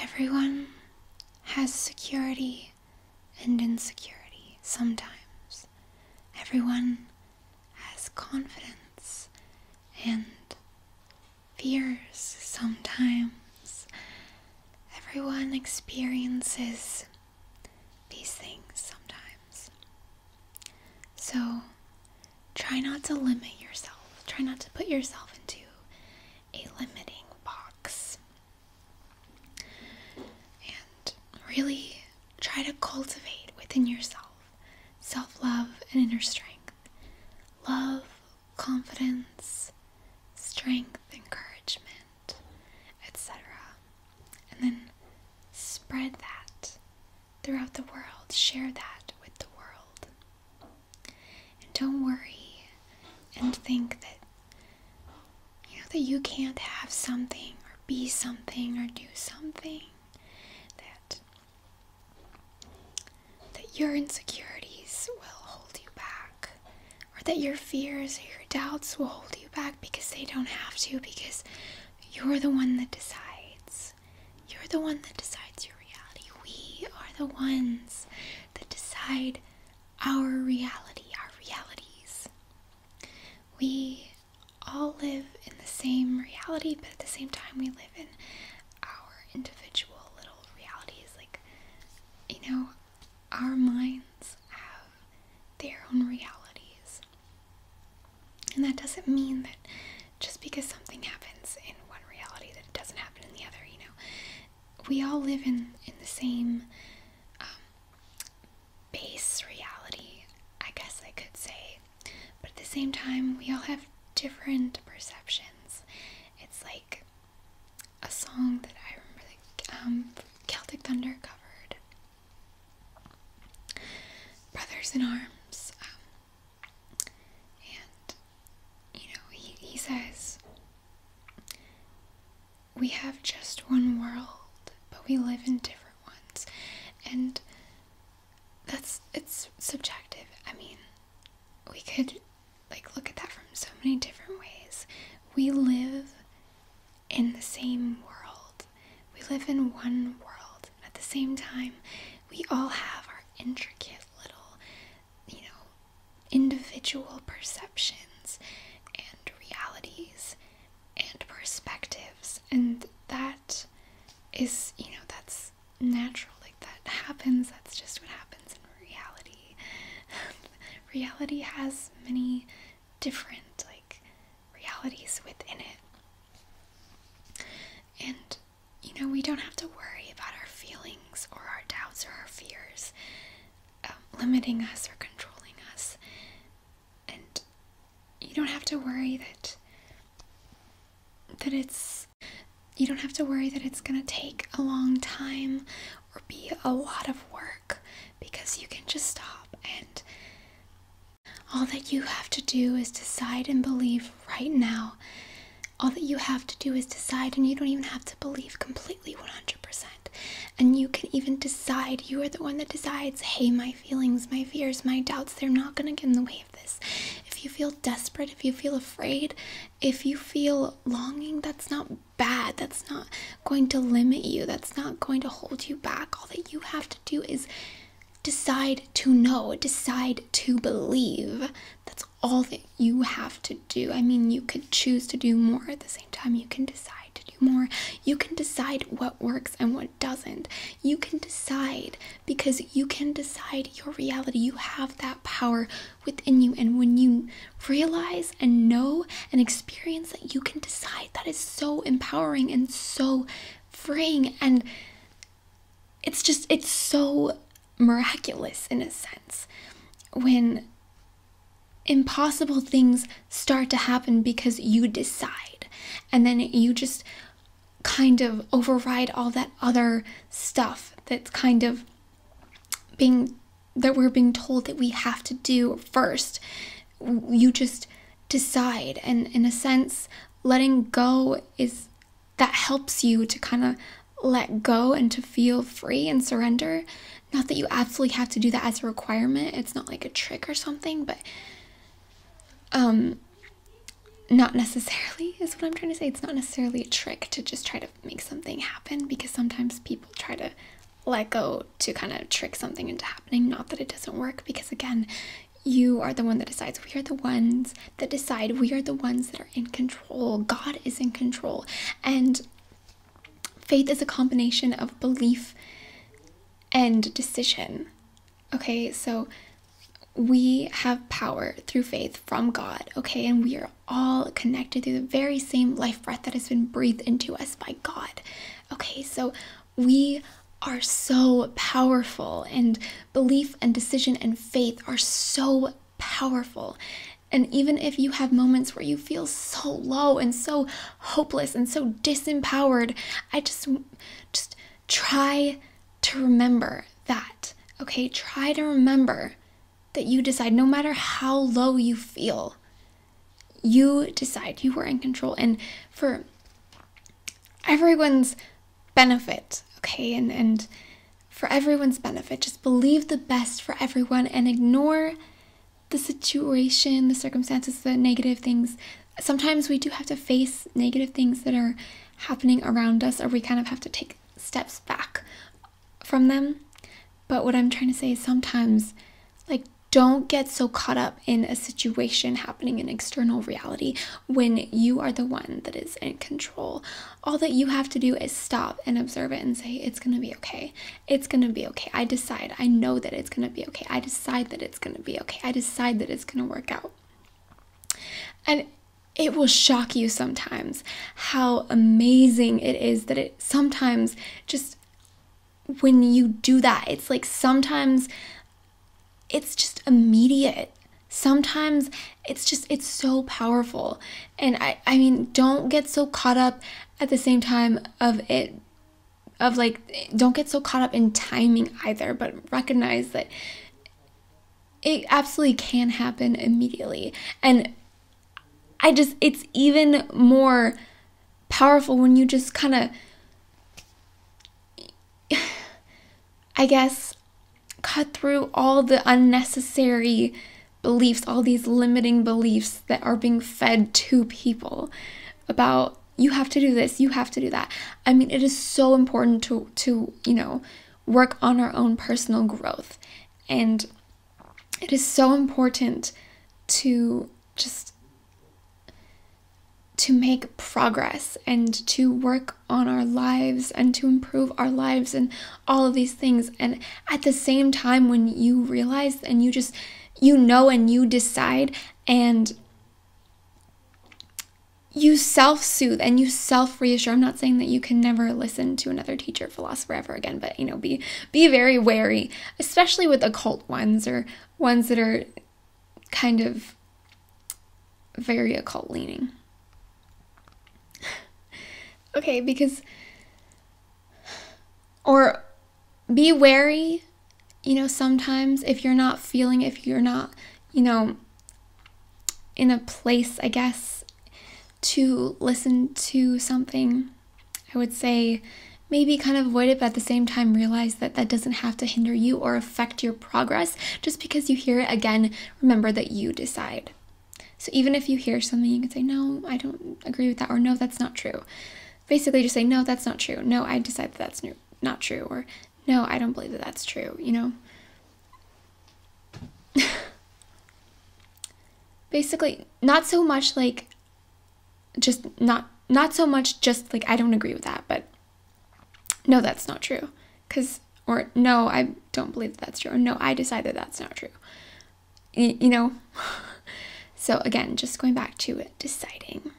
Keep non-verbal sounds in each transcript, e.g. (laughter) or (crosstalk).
Everyone has security and insecurity sometimes. Everyone has confidence and fears sometimes. Everyone experiences these things sometimes. So try not to limit yourself. Try not to put yourself into a limiting box. And really try to cultivate within yourself self love and inner strength. Love, confidence, strength, encouragement, etc. And then spread that throughout the world. Share that with the world. And don't worry and think that you know that you can't have something or be something or do something that that your insecurities will hold you back or that your fears or your doubts will hold you back because they don't have to because you're the one that decides you're the one that decides your reality. We are the ones that decide our reality, our realities. We all live in the same reality, but at the same time, we live in our individual little realities. Like, you know, our minds have their own realities. And that doesn't mean that just because something happens in one reality that it doesn't happen in the other, you know. We all live in, in the same um, base reality, I guess I could say. But at the same time, we all have different perceptions. It's like a song that I remember that um, Celtic Thunder covered. Brothers in Arms. Um, and, you know, he, he says, We have just one world, but we live in different ones. And that's, it's subjective. I mean, we could, like, look at that from so many different ways. We live in the same world, we live in one world. At the same time, we all have our intricate little, you know, individual perceptions and realities and perspectives. And that is, you know, that's natural. Like that happens. That's just what happens in reality. (laughs) reality has many different, like, realities within it. And, you know, we don't have to worry about our feelings or our doubts or our fears um, limiting us or controlling us. And you don't have to worry that that it's you don't have to worry that it's going to take a long time or be a lot of work because you can just stop and all that you have to do is decide and believe right now. All that you have to do is decide, and you don't even have to believe completely 100%. And you can even decide. You are the one that decides hey, my feelings, my fears, my doubts, they're not going to get in the way of this. If you feel desperate, if you feel afraid, if you feel longing, that's not bad. That's not going to limit you. That's not going to hold you back. All that you have to do is decide to know, decide to believe. That's all that you have to do. I mean, you could choose to do more at the same time, you can decide to do more. You can decide what works and what doesn't. You can decide because you can decide your reality. You have that power within you, and when you realize and know and experience that you can decide, that is so empowering and so freeing and it's just it's so miraculous in a sense when impossible things start to happen because you decide and then you just kind of override all that other stuff that's kind of being that we're being told that we have to do first you just decide and in a sense letting go is that helps you to kind of let go and to feel free and surrender not that you absolutely have to do that as a requirement it's not like a trick or something but um not necessarily is what i'm trying to say it's not necessarily a trick to just try to make something happen because sometimes people try to let go to kind of trick something into happening. Not that it doesn't work, because again, you are the one that decides. We are the ones that decide. We are the ones that are in control. God is in control. And faith is a combination of belief and decision. Okay, so we have power through faith from God, okay, and we are all connected through the very same life breath that has been breathed into us by God. Okay, so we are so powerful, and belief and decision and faith are so powerful. And even if you have moments where you feel so low and so hopeless and so disempowered, I just just try to remember that. Okay, try to remember that you decide no matter how low you feel you decide you were in control and for everyone's benefit okay and and for everyone's benefit just believe the best for everyone and ignore the situation the circumstances the negative things sometimes we do have to face negative things that are happening around us or we kind of have to take steps back from them but what i'm trying to say is sometimes like don't get so caught up in a situation happening in external reality when you are the one that is in control. All that you have to do is stop and observe it and say, It's gonna be okay. It's gonna be okay. I decide. I know that it's gonna be okay. I decide that it's gonna be okay. I decide that it's gonna work out. And it will shock you sometimes how amazing it is that it sometimes just when you do that, it's like sometimes it's just immediate. Sometimes it's just it's so powerful. And I I mean, don't get so caught up at the same time of it of like don't get so caught up in timing either, but recognize that it absolutely can happen immediately. And I just, it's even more powerful when you just kind of, (sighs) I guess, cut through all the unnecessary beliefs, all these limiting beliefs that are being fed to people about you have to do this, you have to do that. I mean, it is so important to to, you know, work on our own personal growth and it is so important to just to make progress and to work on our lives and to improve our lives and all of these things and at the same time when you realize and you just you know and you decide and you self soothe and you self reassure. I'm not saying that you can never listen to another teacher philosopher ever again, but you know, be be very wary, especially with occult ones or ones that are kind of very occult leaning. okay, because or be wary, you know, sometimes if you're not feeling if you're not, you know, in a place, I guess, to listen to something, I would say maybe kind of avoid it, but at the same time, realize that that doesn't have to hinder you or affect your progress. Just because you hear it again, remember that you decide. So even if you hear something, you can say, No, I don't agree with that, or No, that's not true. Basically, just say, No, that's not true. No, I decide that that's not true, or No, I don't believe that that's true, you know? (laughs) basically not so much like just not not so much just like I don't agree with that, but no, that's not true. Cause or no, I don't believe that that's true. no, I decide that that's not true. you know. (laughs) so again, just going back to deciding.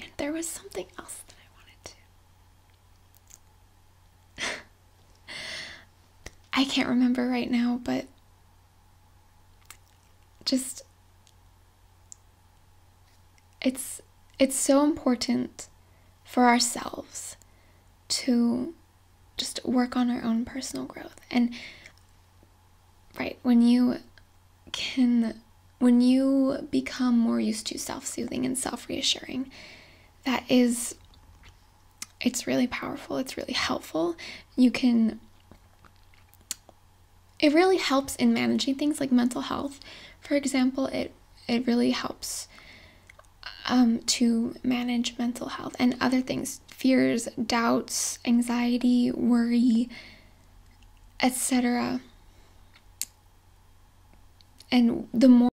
And there was something else that I wanted to. I can't remember right now, but just it's it's so important for ourselves to just work on our own personal growth and right when you can when you become more used to self-soothing and self-reassuring that is it's really powerful, it's really helpful. You can it really helps in managing things like mental health. For example, it it really helps um, to manage mental health and other things, fears, doubts, anxiety, worry, etc. And the more